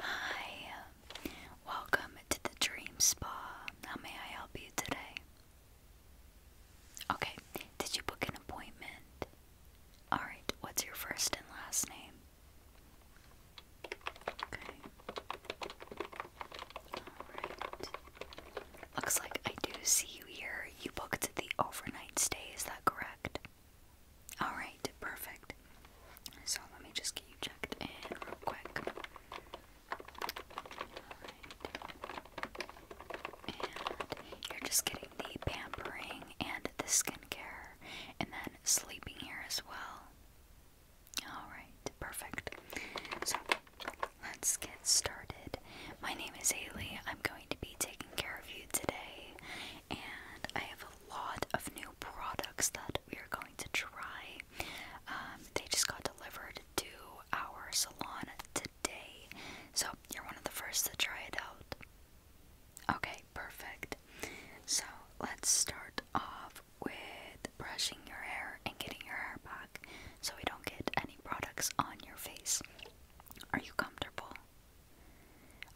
Hi, welcome to the Dream Spa. How may I help you today? Okay, did you book an appointment? Alright, what's your first and last name? Okay. Looks like I do see you here. You booked the overnight stay, is that correct? Alright, perfect. So let me just get you checked in real quick. you're just getting the pampering and the skincare, and then sleeping here as well. Alright, perfect. So, let's get started. My name is Haley. I'm going to be taking care of you today, and I have a lot of new products that we are going to try. Um, they just got delivered to our salon today, so you're one of the first to try it out. Okay, perfect. So, let's start off with brushing your hair and getting your hair back so we don't get any products on your face. Are you comfortable?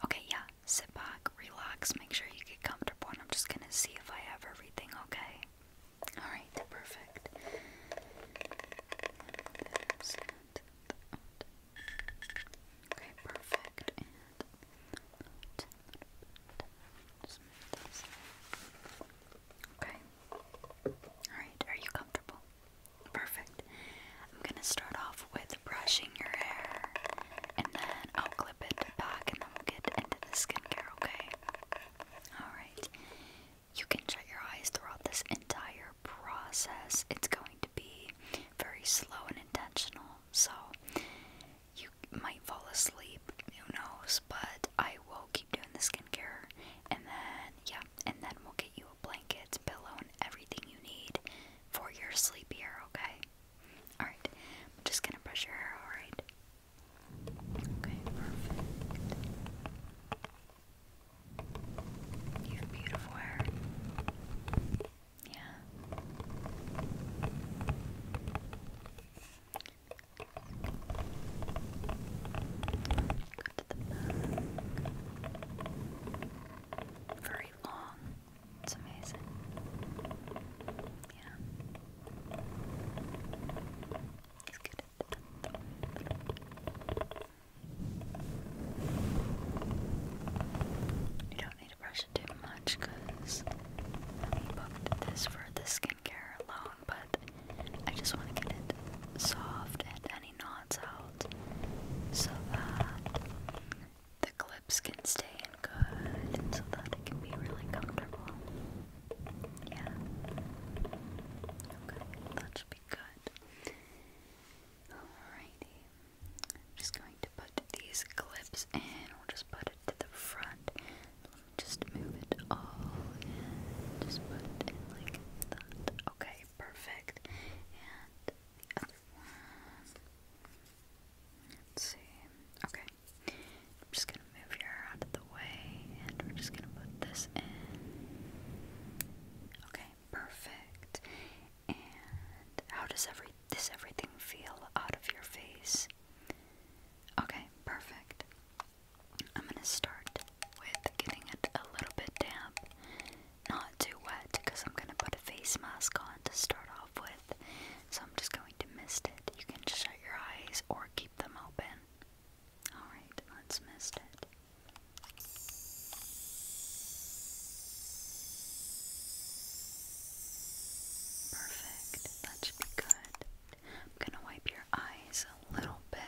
Okay, yeah, sit back, relax, make sure you get comfortable, and I'm just gonna see if I have everything okay. Alright, perfect. Okay, perfect. Okay. Alright, are you comfortable? Perfect. I'm gonna start off with brushing your hair and then I'll clip it back and then we'll get into the skincare, okay? Alright. You can shut your eyes throughout this entire process. It's going to be very slow and intentional. So you might fall asleep, who knows, but I will keep doing the skincare and then yeah, and then we'll get you a blanket, pillow, and everything you need for your sleep here, okay? Alright. I'm just gonna brush your hair, alright? Okay, perfect. You have beautiful hair. Yeah. Go Very long. It's amazing. Yeah. He's good at that. You don't need to brush it too much because we booked this for the skincare hair but I just want to get it soft and any knots out so that the clips can stay in good so that it can be really comfortable. Yeah. Okay, that should be good. Alrighty. am just going to put these clips in. We'll just put it to the front. Just move it all in. Just put it like that. Okay, perfect. And the other one. see. Okay. I'm just gonna move your out of the way and we're just gonna put this in. Okay, perfect. And how does every does everything feel out of your face? Okay, perfect. I'm gonna start with getting it a little bit damp, not too wet, because I'm gonna put a face mask on to start off with. So I'm just going to mist it. You can shut your eyes or keep them open. Alright, let's mist it. Perfect. That should be good. I'm gonna wipe your eyes a little bit.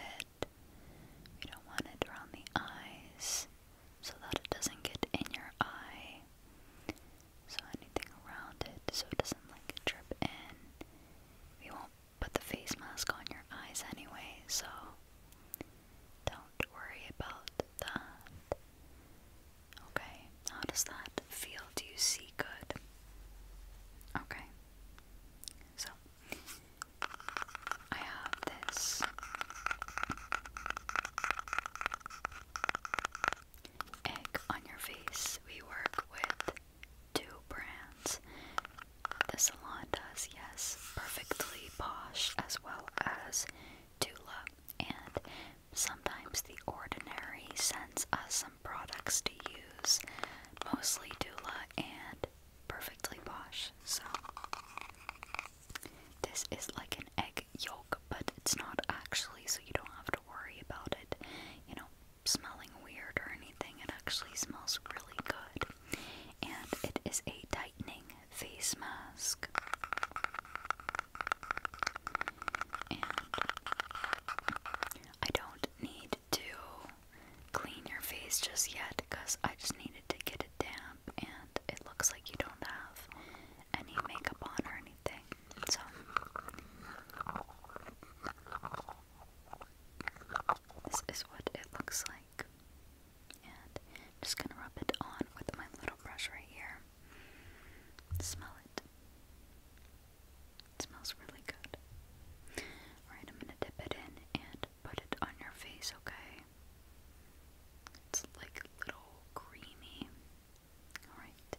We don't want it around the eyes so that it doesn't get in your eye. So anything around it so it doesn't like drip in. We won't put the face mask on your eyes anyway, so don't worry about that. Okay, how does that feel? Do you see good? Okay, so I have this egg on your face. We work with two brands. The salon does, yes, perfectly posh as well as Tula, and sometimes the ordinary sends us products to use, mostly Dula and Perfectly Bosh. So, this is like an egg yolk, but it's not actually, so you don't have to worry about it, you know, smelling weird or anything. It actually smells really good. And it is a tightening face mask. And I don't need to clean your face just yet because I just needed to get it damp and it looks like you don't have any makeup on or anything. So this is what it looks like. And I'm just gonna rub it on with my little brush right here. Smell it. It smells really good. Alright, I'm gonna dip it in and put it on your face, okay? It's like a little creamy. Alright,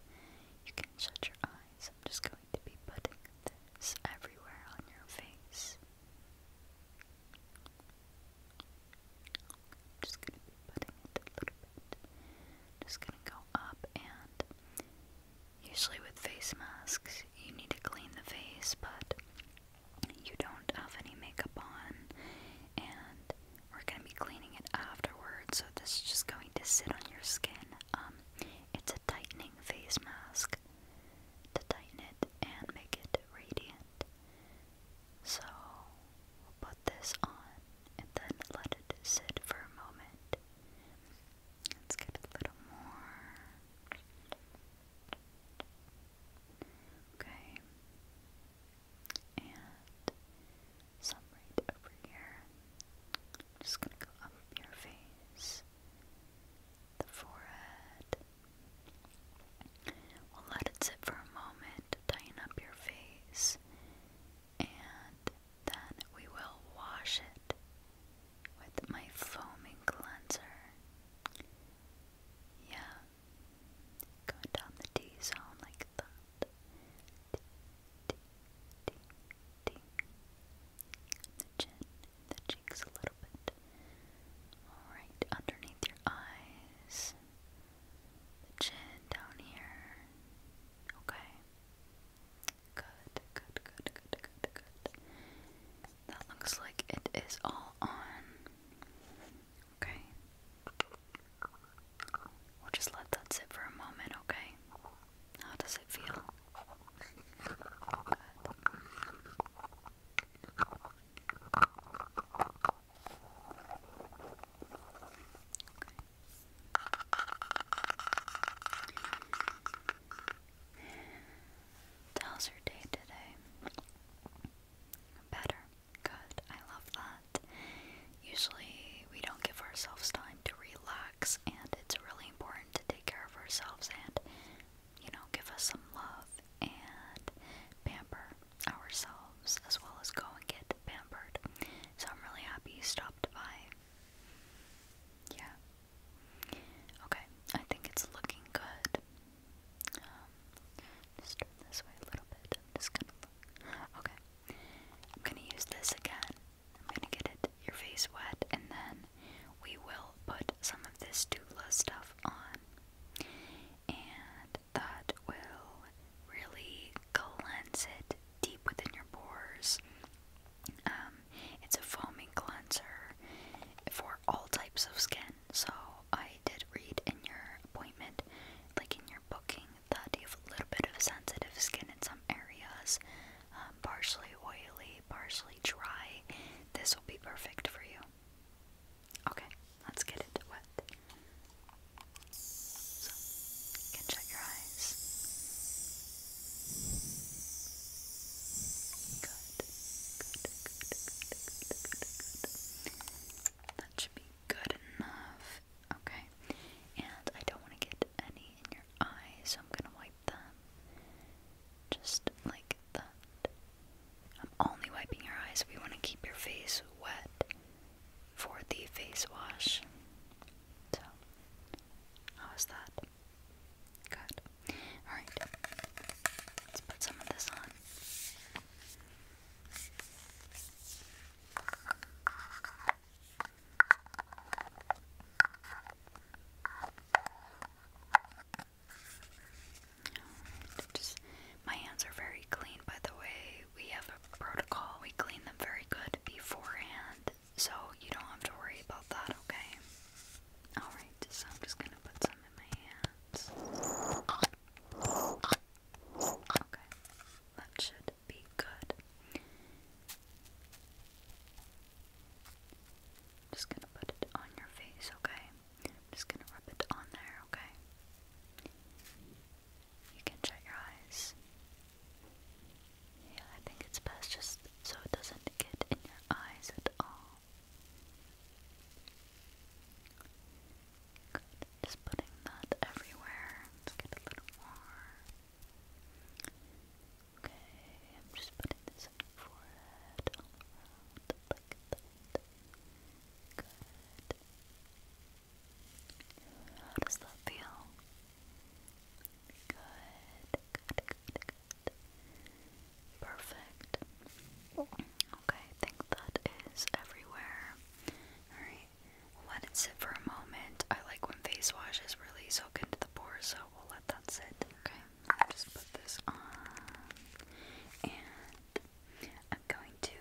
you can shut your eyes. I'm just going to be putting this everywhere on your face. I'm just gonna be putting it just gonna go up and usually with face masks you need to clean the face, but you don't have any makeup on, and we're gonna be cleaning it afterwards, so this is just going to sit on your skin. Um, it's a tightening face mask to tighten it and make it radiant. So We'll put this on and then let it sit for a moment. Let's get a little more. Okay. And some right over here. just gonna go up your face, the forehead. We'll let it sit for a moment, tighten up your face, and then we will wash it with my foaming cleanser. Yeah, going down the T zone like that. The chin, the cheeks a little bit. Alright, underneath your eyes. The chin down here. Okay. Good, good, good, good, good, good. That looks like it is all on. Okay. We'll just let that sit for a moment, okay? How does it feel? How's your day today? Better. Good. I love that. Usually we don't give ourselves time to relax, and it's really important to take care of ourselves and, you know, give us some love and pamper ourselves as well as go and get pampered. So I'm really happy you stopped by. Yeah. Okay, I think it's looking good. just um, this way a little bit. just gonna Okay. I'm gonna use this again. I'm gonna get it your face wet and then we will put some of this doula stuff on. And that will really cleanse it deep within your pores. Um, it's a foaming cleanser for all types of skin. So I did read in your appointment, like in your booking, that you have a little bit of sensitive skin in some areas, um, partially oily, partially dry. This will be perfect for you. Okay, let's get it. So, you can shut your eyes. good. That should be good enough. Okay. And I don't want to get any in your eyes, so I'm going to wipe them. Just like that. I'm only wiping your eyes. We want to keep your face wet for the face wash. So, how is that? Good. Alright, let's put some of this on. Just, my hands are very clean, by the way we have a protocol. We clean them very good beforehand, so you don't have to worry about that, okay? Alright, so I'm just gonna put some in my hands. Okay, that should be good. Just gonna put it on your face, okay? just gonna rub it on there, okay? You can shut your eyes. Yeah, I think it's best just so it doesn't get in your eyes at all. Good. Just putting that everywhere. Let's get a little more. Okay, I'm just putting this on your forehead all around like that. Good. How does that feel? Good, Perfect. Okay, I think that is everywhere. Alright, we'll let it sit for a moment. I like when face washes really soak into the pores, so we'll let that sit. Okay, I'll just put this on and I'm going to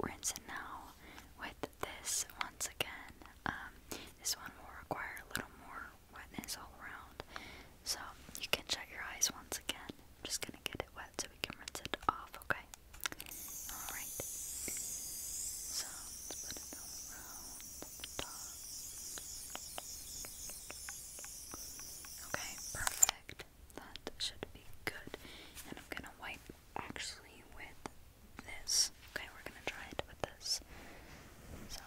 rinse it now with this once again. Um, this one will require a little more wetness all around, so you can shut your eyes once again. I'm just gonna get it wet so we can rinse it off, okay? Alright. So let's put it all around Okay, perfect. That should be good. And I'm gonna wipe actually with this. Okay, we're gonna try it with this. So,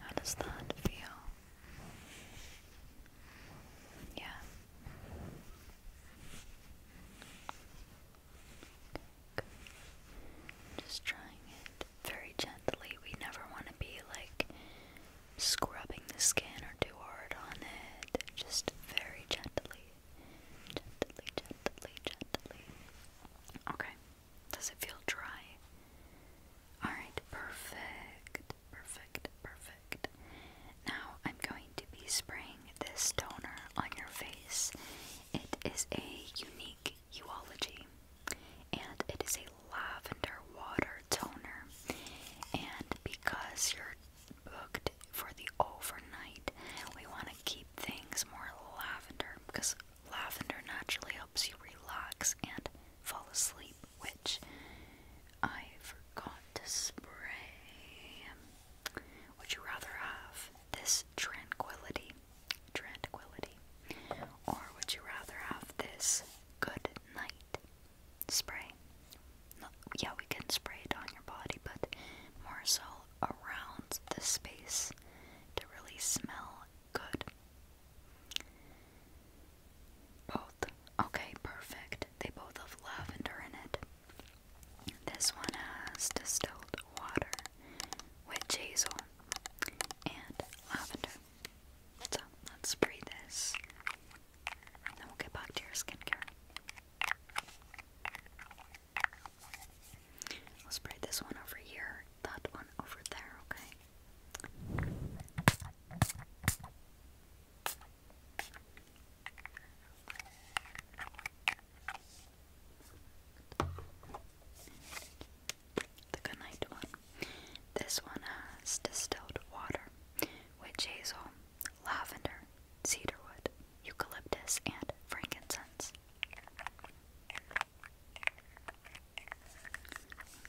how does that feel? Yeah. Just trying it very gently. We never want to be like scrubbing the skin or too hard on it. Just very gently. Gently, gently, gently. Okay. Does it feel dry? Alright, perfect. Perfect, perfect. Now I'm going to be spraying this toner on your face. It is a unique eulogy and it is a lavender water toner. And because you're booked for the overnight, we want to keep things more lavender because lavender naturally helps you relax and fall asleep, which I forgot to spray. Would you rather have this tranquility? Tranquility. Or would you rather have this good night? spray. yeah, we can spray it on your body, but more so around the space to really smell good. Both. Okay, perfect. They both have lavender in it. This one has distilled water, witch hazel, and lavender. So um, let's spray this, then we'll get back to your skincare. I'll spray this one over here, that one over there, okay? The good night one. This one has distilled water, witch hazel, lavender, cedarwood, eucalyptus, and frankincense.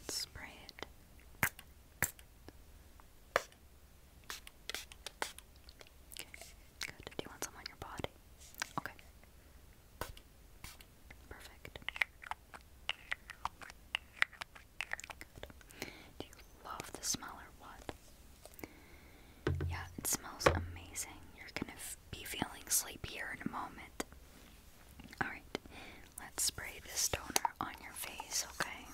spray it. Okay, good. Do you want some on your body? Okay. Perfect. Do you love the smell or what? Yeah, it smells amazing. You're gonna be feeling sleepier in a moment. Alright, let's spray this toner on your face, okay?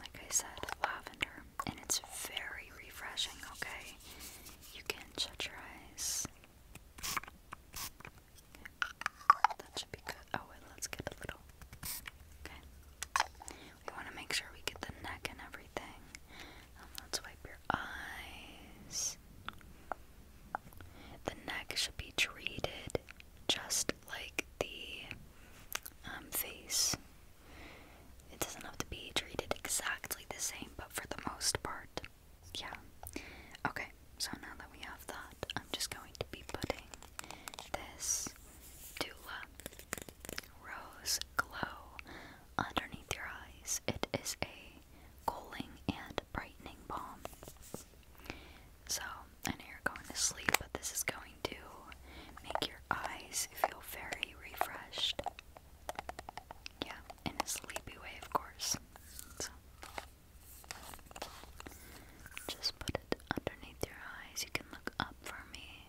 Like I said, lavender, and it's very refreshing, okay? You can shut your eyes. That should be good. Oh, wait, let's get a little. Okay. We want to make sure we get the neck and everything. Um, let's wipe your eyes. The neck should be treated just like the um, face. It doesn't have to be treated exactly the same, but for the most part, yeah. Okay, so now that we have that, I'm just going to be putting this Dula Rose Glow underneath your eyes. It is a cooling and brightening balm. So, I know you're going to sleep, but this is going to make your eyes feel very refreshed. Yeah, in a sleepy way, of course. So, just put it underneath your eyes. You can look up for me.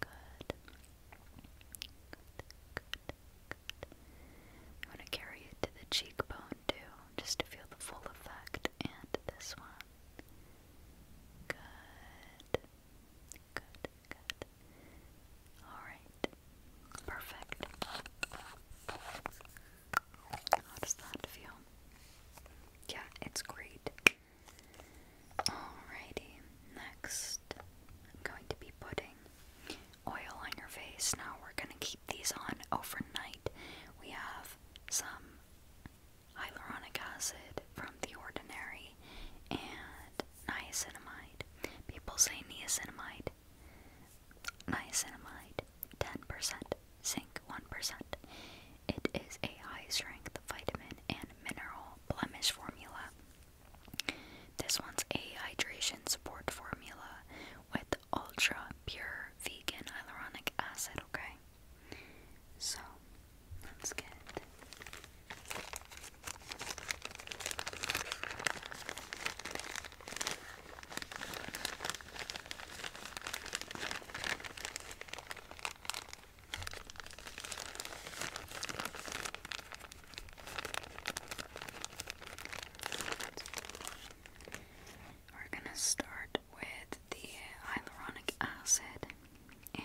Good. Good, good, You want to carry it to the cheekbone too, just to feel the full effect. And this one. Good. Good, good. Alright, Perfect. How does that feel? Yeah, it's great. Alrighty, next I'm going to be putting oil on your face. Now we're going to keep these on overnight. We have some hyaluronic acid from The Ordinary and niacinamide. People say niacinamide, Niacinamide 10%, zinc 1%. It is a high strength vitamin and mineral blemish formula. This one's a hydration support formula with ultra pure vegan hyaluronic acid, okay? So, let's we're going to start with the hyaluronic acid, and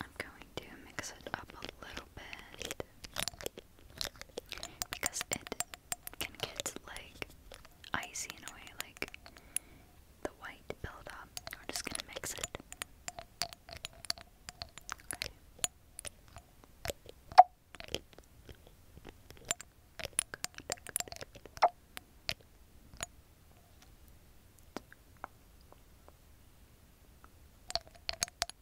I'm going to mix it up a little bit because it can get like icy in a way, like the white build up. We're just gonna mix it. Okay,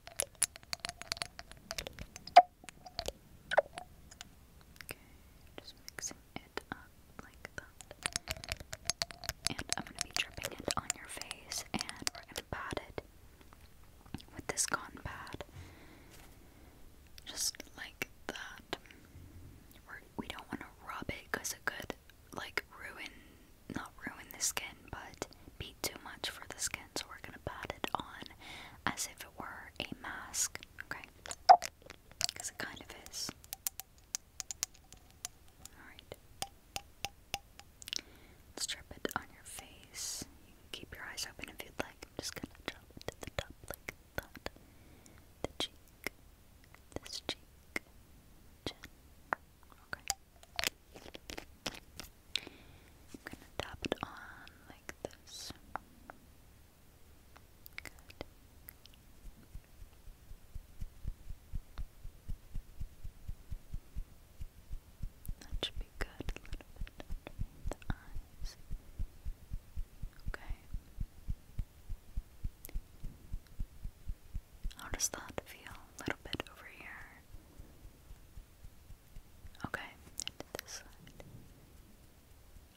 just mixing it up like that. And I'm gonna be dripping it on your face and we're going it with this cotton pad. Just like that. We're, we do not want to rub it it could like ruin, not ruin the skin, but be too much for the skin, so we're gonna pat it on as if it were a mask, okay? Because it kind of is. Alright. Strip it on your face. keep your eyes open if you'd like. I'm just gonna drop to the top like that. The cheek. This cheek. Okay. I'm gonna tap it on like this. Good. That should be good. A little bit underneath the eyes. Okay. How that feel? A little bit over here. Okay,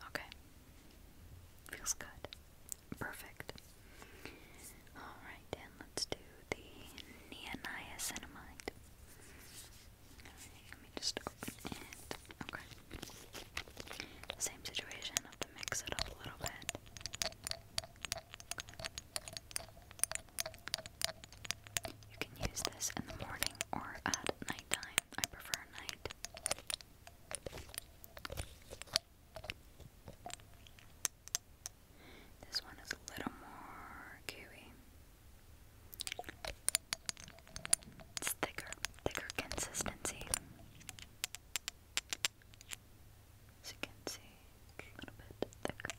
Okay. Feels good. Perfect. Alright, and let's do the neoniacinamide. Alright, let me just open it. Okay. Same situation, have to mix it up a little bit. You can use this in the morning or at nighttime. I prefer night. This one is a little more gooey. It's thicker, thicker consistency. As you can see, a little bit thicker.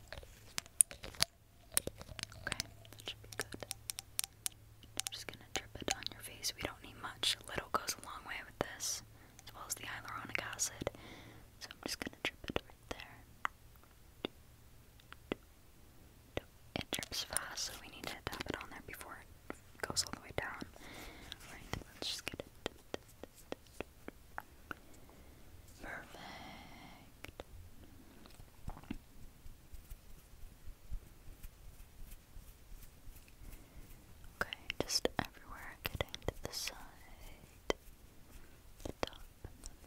Okay, that should be good. I'm just gonna drip it on your face. We don't need much. A little goes a long way with this, as well as the hyaluronic acid. So I'm just gonna drip it right there. It drips fast, so we need to tap it on there before it goes all the way down. Alright, let's just get it. Perfect. Okay, just everywhere getting to the side, the top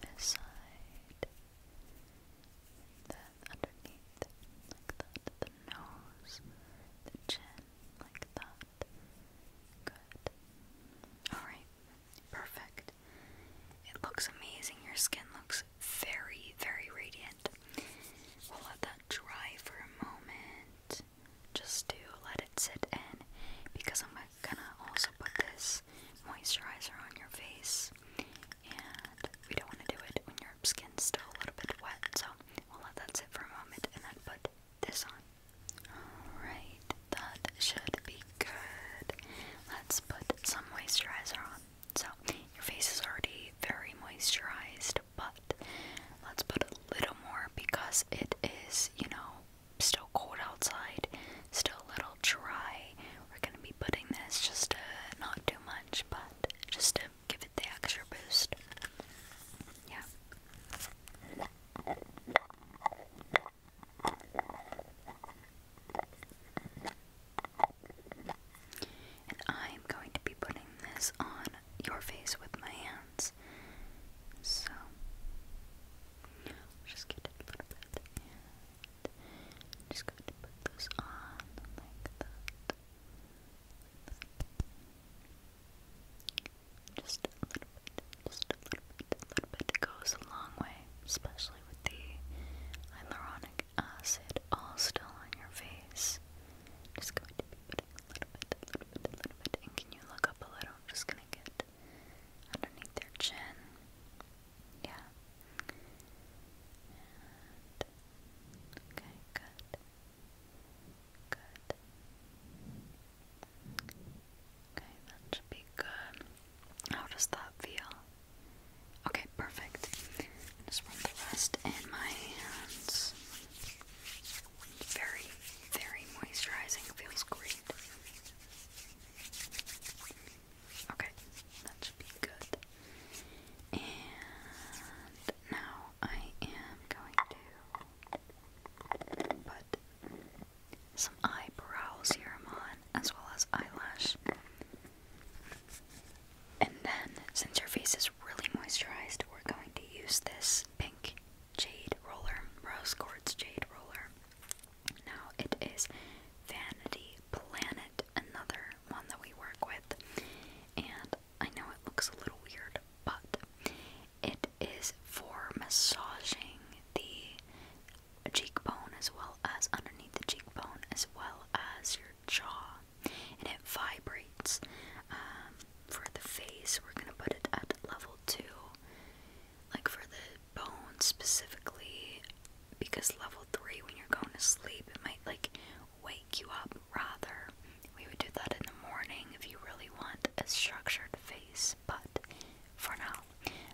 this side, then underneath, like that, the nose, the chin, like that. Good. Alright, Perfect. It looks amazing. Your skin looks very, very radiant. We'll let that dry for a moment just to let it sit in because I'm gonna also put this moisturizer on your face and we don't want to do it when your skin's still a little bit wet so we'll let that sit for a moment and then put this on. Alright, that should be good. Let's put some moisturizer on. So, your face is already very moisturized, but let's put a little more because it is, you know, still cold outside, still a little dry. We're going to be putting this just to, not too much, but just to give it the extra boost. Yeah. And I'm going to be putting this on your face with my hands. So, just get a little bit just going to put this on like that. Just a little bit, just a little bit, a little bit goes a long way, especially with the hyaluronic acid all still on your face. Just going to be putting a little bit, a little bit, a little bit, and can you look up a little? just gonna get underneath their chin. Yeah. okay, good. Good. Okay, that should be good. How does that feel? Okay, perfect. Just rub the rest in my hands. very, very moisturizing. Feels great. Okay, that should be good. And now I am going to put some eyebrows here, on as well as eyelash. And then, since your face is really moisturized, we're going to use this pink jade roller, rose quartz jade roller. Now, it is Vanity Planet, another one that we work with, and I know it looks a little weird, but it is for massaging the cheekbone as well as underneath the cheekbone as well as your jaw. And it vibrates. Um, for the face, we're going to put it at level 2. Like for the bone specifically, because level 3, when you're going to sleep, it might like wake you up rather. We would do that in the morning if you really want a structured face but for now,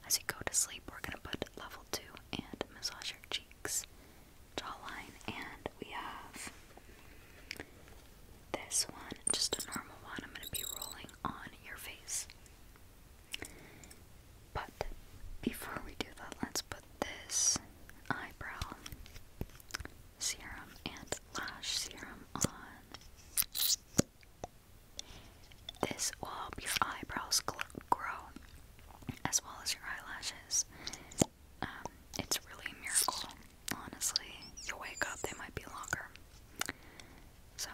as you go to sleep, we're gonna put level two and massage your cheeks, jawline, and we have this one, just a normal one. I'm gonna be rolling on your face. But before we do that, let's put this eyebrow serum and lash serum on. This will help your eyebrows grow as well as your eyelashes. Um, it's really a miracle, honestly. You wake up, they might be longer. So,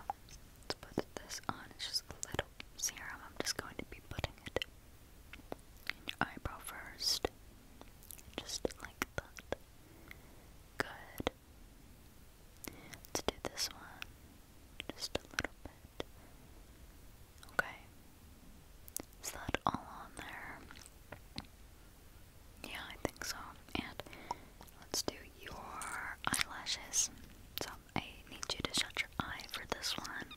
let's put this on. just a little serum. I'm just going to be putting it in your eyebrow first. Just like that. Good. Let's do this one just a little bit. Okay. Is that all on there? Yeah, I think so. And let's do your eyelashes. So I need you to shut your eye for this one.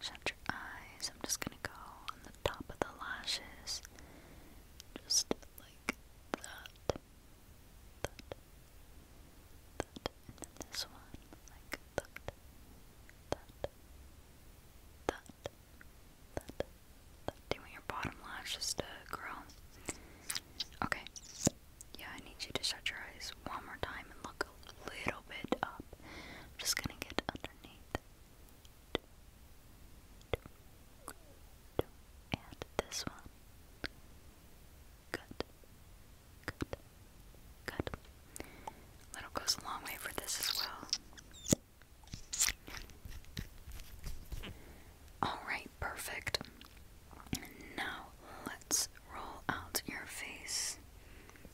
Shut your eyes. I'm just gonna go on the top of the lashes. Just like that. Do you want your bottom lashes to grow? Okay. Yeah, I need you to shut your eyes one more time and look a little bit up. I'm just gonna get underneath and this one. Good. Good. Good. Little goes a long way for this as well. Alright, perfect. Now let's roll out your face.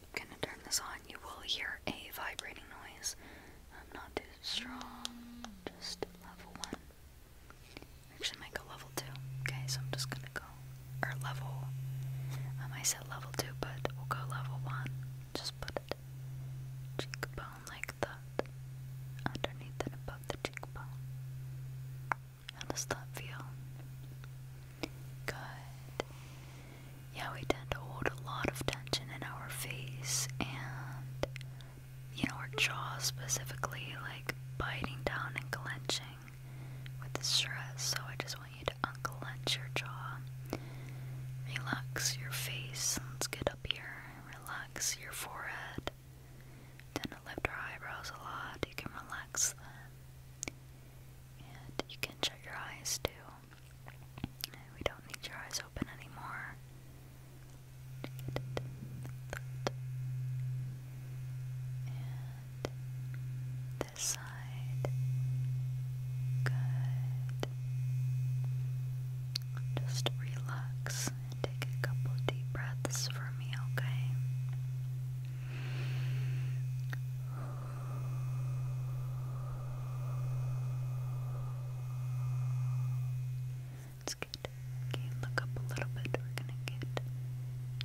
I'm gonna turn this on. You will hear a vibrating noise. I'm not too strong. Just level one. Actually, might go level 2. Okay, so I'm just gonna go. Or level. Um, I said level 2, but we'll go level 1. Just put it cheekbone like that. Underneath and above the cheekbone. How does that feel? Good. Yeah, we tend to hold a lot of tension in our face and you know, her jaw specifically, like biting down and clenching with the stress. So I just want you to unclench your jaw, relax your face. Let's get up here. Relax your forehead. Tend to lift your eyebrows a lot. You can relax them, and you can shut your eyes too. We don't need your eyes open anymore. And this side. Good. Just relax and take a couple deep breaths for me, okay? It's good. Okay, look up a little bit. We're gonna get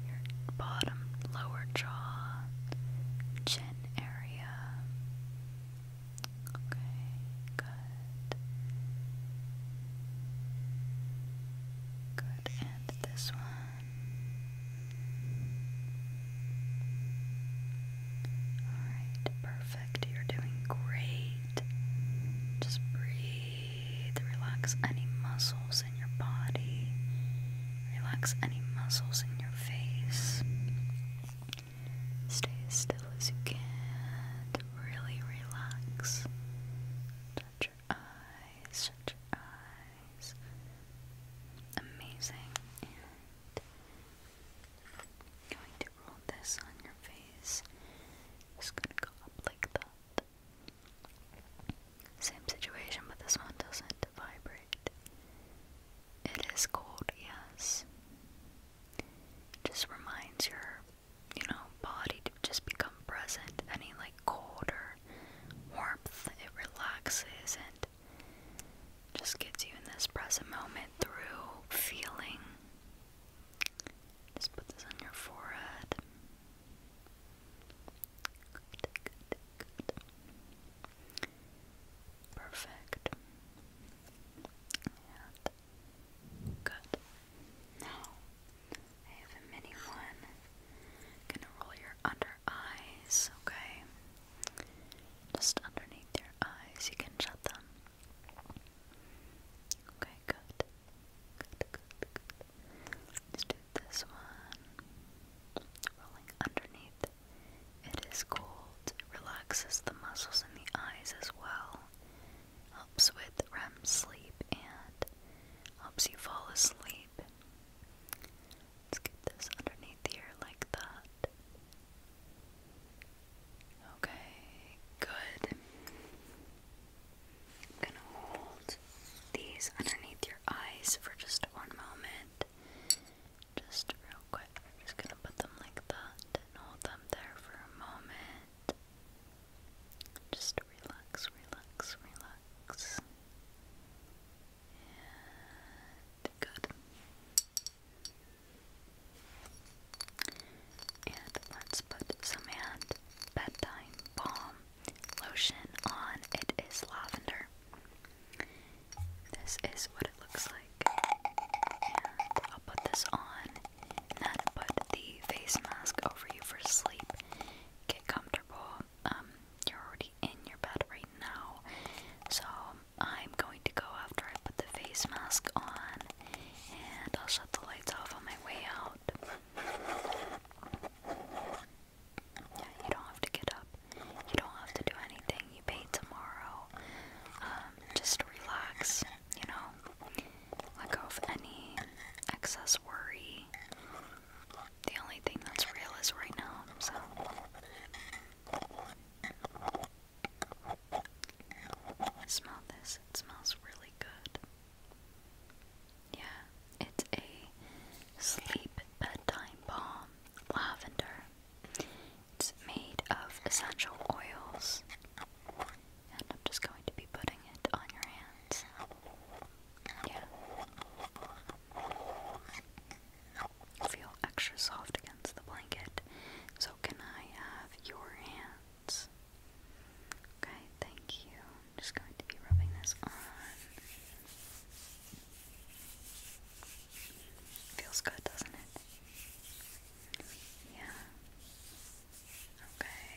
your bottom lower jaw, chin area. Okay, good. Good, and this one. Alright, perfect. You're doing great. Just breathe. Relax any muscles in your body. Relax any muscles in your face. Stay as still as you can. Really relax. Touch your eyes. Touch your eyes. Amazing. going to roll this on your face. Just gonna go up like that. Same situation, but this one doesn't vibrate. It is cold, yes. just reminds your, you know, body to just become present. Any like cold or warmth, it relaxes and just gets you in this present moment through feeling just put this on your forehead. Perfect. good. Now I have a mini one. gonna roll your under eyes, okay? Just underneath your eyes, you can shut them. Okay, good. Good, good, good. Let's do this one. Rolling underneath. It is cold. Relaxes the muscles in the eyes as well. Helps with REM sleep and helps you fall asleep. Let's get this underneath here like that. Okay, good. I'm gonna hold these underneath your eyes for just one moment. Just real quick. I'm just gonna put them like that and hold them there for a moment. Just relax, relax, relax. And good. And let's put some hand bedtime balm lotion on. It is lavender. This is what it looks like. And I'll put this on. And put the face mask over you for sleep. Get comfortable. Um, you're already in your bed right now. So I'm going to go after I put the face mask on, and I'll shut the lights off on my way out. Yeah, you don't have to get up. You don't have to do anything. You pay tomorrow. Um, just relax, you know? Let go of any excess worry. The only thing that's real is right now, Smell this, it smells really good. Yeah, it's a sleep bedtime balm, lavender. It's made of essential oils, and I'm just going to be putting it on your hands. Yeah. Feel extra soft the blanket. So, can I have your hands? Okay, thank you. just going to be rubbing this on. Feels good, doesn't it? Yeah. Okay.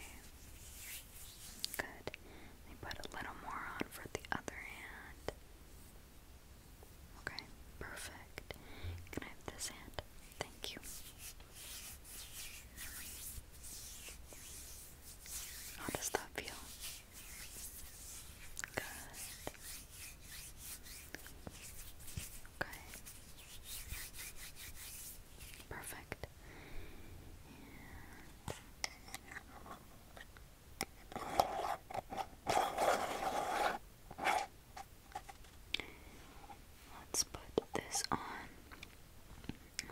Good. Let put a little more on for the other hand. Okay, perfect. Can I have this hand? Thank you. How does that feel? Good. Okay. Perfect. Let's put this on.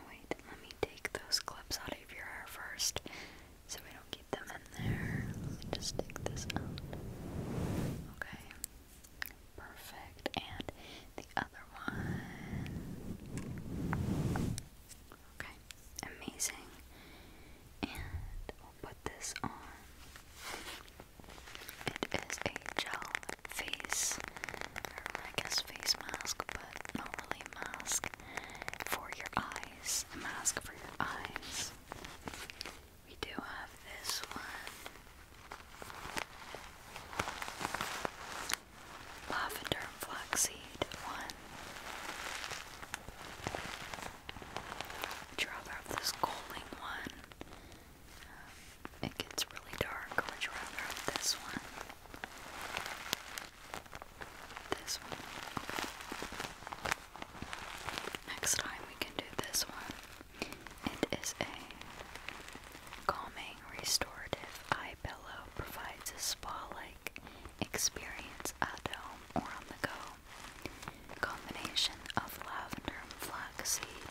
Wait, let me take those clips out of your hair first so we don't keep them in there. Let me just take this out. Okay. Perfect. And the other one. Okay. Amazing. And we'll put this on. It is a gel face, I guess face mask, but not mask for your eyes. mask for your eyes. We do have this one. Lavender flaxseed one. Would you rather have this cooling one it gets really dark. Would you rather this one? This one. Next time we can do this one. It is a calming, restorative eye pillow. Provides a spa-like experience at home or on the go. Combination of lavender and flaxseed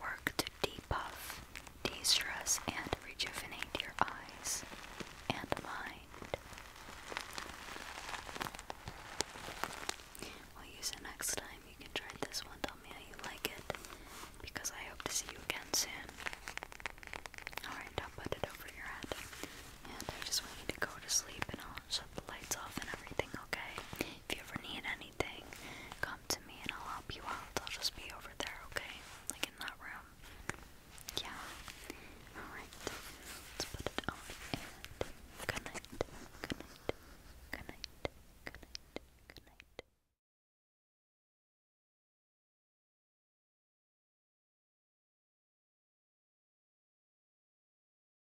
work to depuff, de-stress, and rejuvenate your eyes and mind. We'll use it next time. You can try this one. Tell me how you like it because I hope to see you again soon. Alright, i it over your head. And I just want you to go to sleep and I'll shut the lights off and everything, okay? If you ever need anything, come to me and I'll help you out. I'll just be over there, okay? Like in that room. Yeah. Alright. Let's put it on good night. Good night. Good night. Good night. Good night.